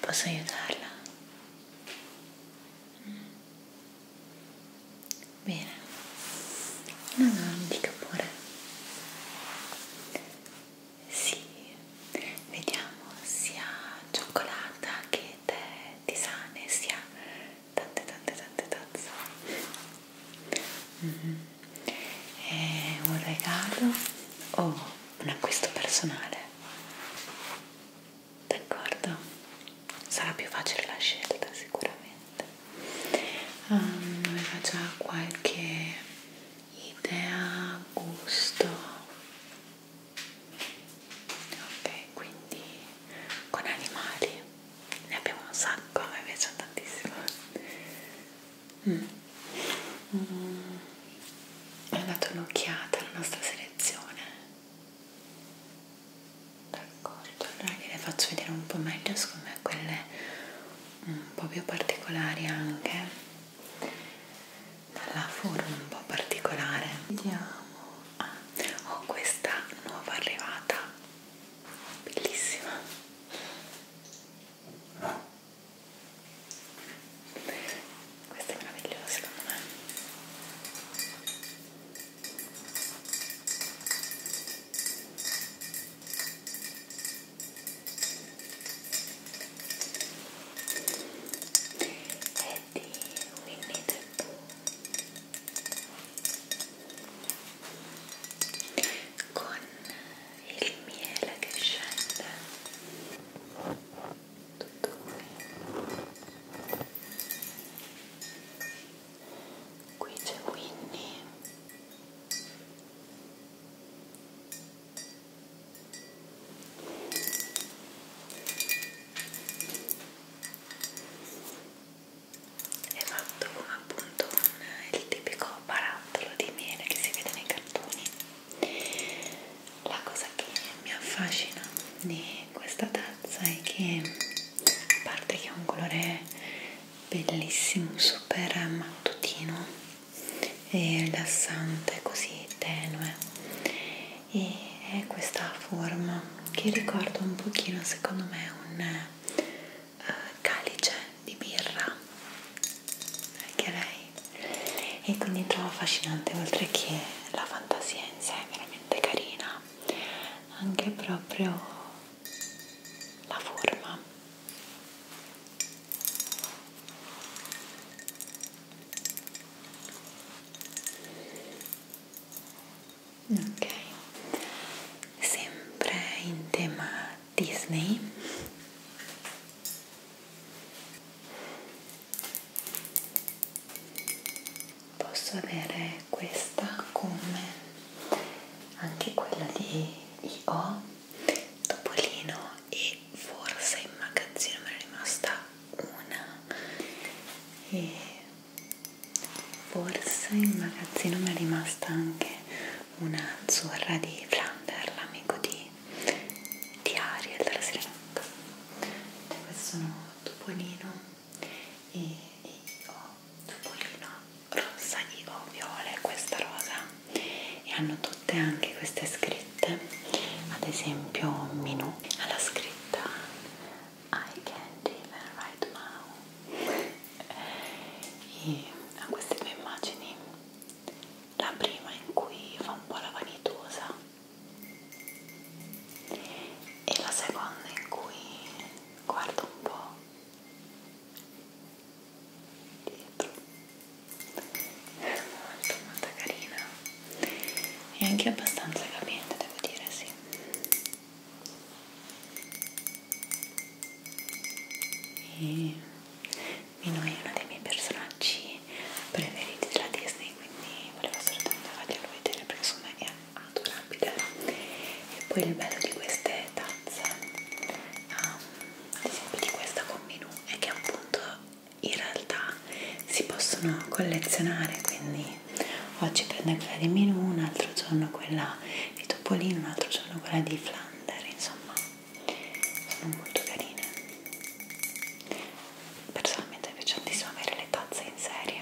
Posso aiutarla? Mm. Bene, no, no, mi dica pure. Sì, vediamo sia cioccolata che tè tisane, sia tante tante tante tazze. Mm -hmm. È eh, un regalo o un acquisto personale? D'accordo? Sarà più facile la scelta sicuramente. Um, aveva già qualche idea, gusto. Ok, quindi con animali ne abbiamo un sacco, mi piacciono tantissimo. Mm. Mm. Ho dato un'occhiata alla nostra selezione. D'accordo, allora gliele faccio vedere un po' meglio, secondo me quelle un po' più particolari anche. Dalla forma un po' particolare. Vediamo. Ah, ho questa nuova arrivata. Bellissima. Questo è meraviglioso secondo me. È di Winnie the Pooh con il miele che scende tutto qui qui c'è Winnie è fatto come appunto un, il tipico parappa ciondolo di miele che si vede nei cartoni la cosa che mi affascina di questa tazza è che a parte che ha un colore bellissimo super mattutino e rilassante così tenue e è questa forma che ricorda un pochino secondo me un eh, calice di birra anche lei e quindi trovo affascinante oltre che la fantasia in sé è veramente carina anche proprio la forma ok sempre in tema Disney posso avere questa come anche quella di Io Topolino e forse in magazzino me ne è rimasta una e forse in magazzino mi è rimasta anche una azzurra di Flander, l'amico di, di Ariel della Sirenetta. Cioè, questo sono Topolino e, e ho Topolino rossa e ho viola e questa rosa e hanno tutte anche queste scritte, ad esempio Minù alla scritta I can't even write now e a queste due immagini la prima in cui fa un po' la vanitosa e la seconda in cui guardo un po' dietro molto molto carina e anche abbastanza capiente devo dire sì e Mino è uno dei miei personaggi preferiti della Disney quindi volevo assolutamente farglielo vedere perché secondo me è adorabile e poi il bello di queste tazze um, ad esempio di questa con Minu è che appunto in realtà si possono collezionare quindi oggi prendo quella di Minu un altro giorno quella di Topolino un altro giorno quella di Flan under insomma sono molto carine personalmente mi piace tantissimo avere le tazze in serie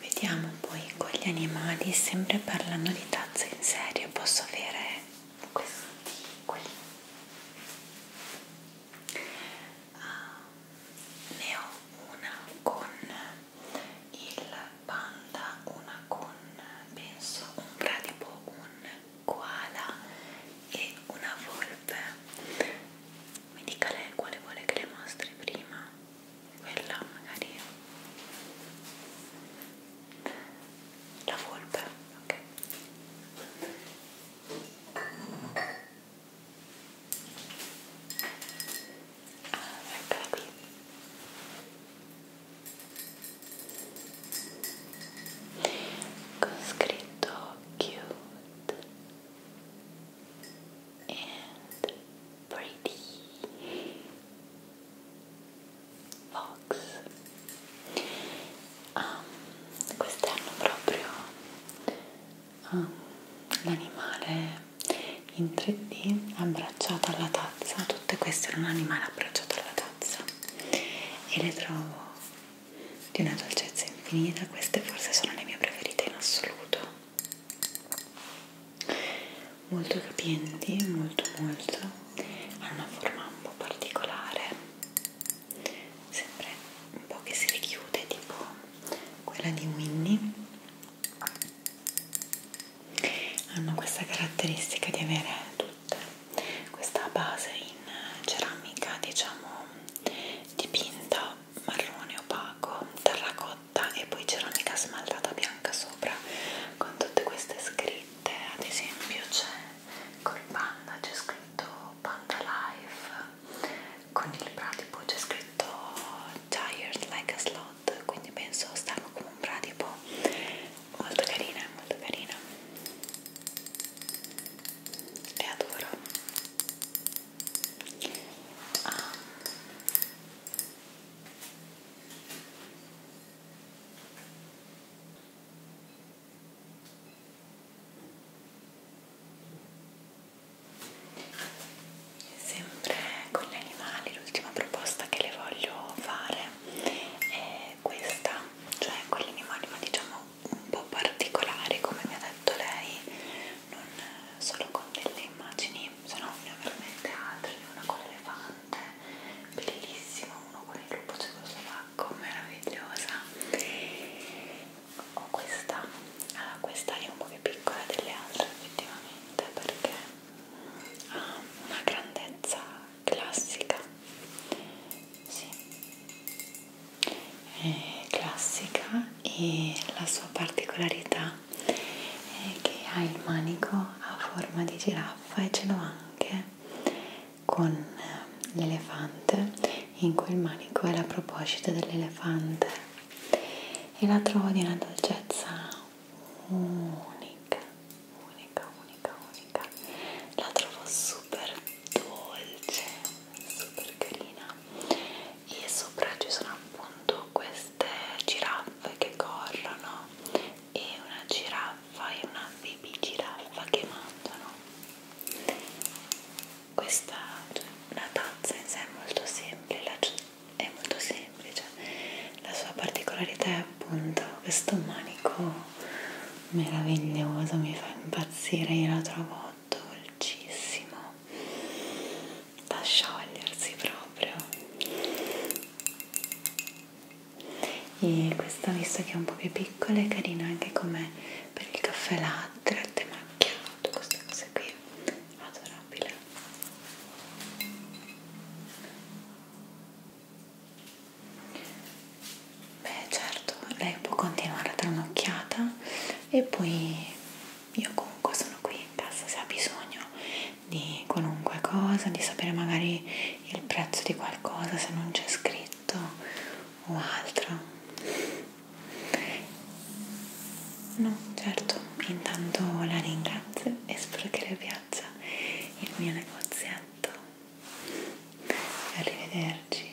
Vediamo poi con gli animali, sempre parlando di tazze in serie, posso avere questi qui. Uh, ah, ne ho una con il panda, una con penso un bradipo, un koala e una volpe. Mi dica lei quale vuole che le mostri prima quella magari la volpe, ok ah, eccola qui con scritto cute and pretty fox. Um, questi hanno proprio um, l'animale in 3D abbracciato alla tazza, tutte queste erano un animale abbracciato alla tazza e le trovo di una dolcezza infinita, queste forse sono le mie preferite in assoluto molto capienti, molto molto, ha una forma un po' particolare, sempre un po' che si richiude tipo quella di Winnie, hanno questa caratteristica di avere tutte questa base in ceramica diciamo dipinta marrone opaco, terracotta matta e poi ceramica smaltata bianca sopra con tutte queste scritte ad esempio c'è col panda c'è scritto panda life con il bradipo c'è scritto tired like a slot quindi penso stanno come un bradipo molto carina molto carina e adoro ah. Sempre con gli animali, l'ultima proposta che le voglio fare è questa, cioè con gli animali ma diciamo un po' particolari come mi ha detto lei non solo con delle immagini, sono ne ho veramente altri, uno con l'elefante, bellissimo, uno con il lupo cecoslovacco, meravigliosa. Ho questa, allora questa è un po' più piccola delle altre effettivamente perché ha una grandezza classica, sì, è classica e la sua particolarità eh, che ha il manico a forma di giraffa e ce l'ho anche con eh, l'elefante in cui il manico è la proposita dell'elefante e la trovo di una dolcezza unica unica unica unica la trovo super dolce super carina e sopra ci sono appunto queste giraffe giraffe che corrono e una giraffa e una baby giraffa che mangiano questa cioè, la tazza in sé è molto semplice la, è molto semplice la sua particolarità è appunto questo manico meraviglioso mi fa impazzire io la trovo dolcissimo da sciogliersi proprio e questa visto che è un po' più piccola è carina anche come per il caffè latte, latte macchiato, queste cose qui adorabile beh certo lei può continuare a dare un'occhiata e poi io comunque sono qui in casa se ha bisogno di qualunque cosa, di sapere magari il prezzo di qualcosa se non c'è scritto o altro. No, certo, intanto la ringrazio e spero che le piaccia il mio negozietto. Arrivederci.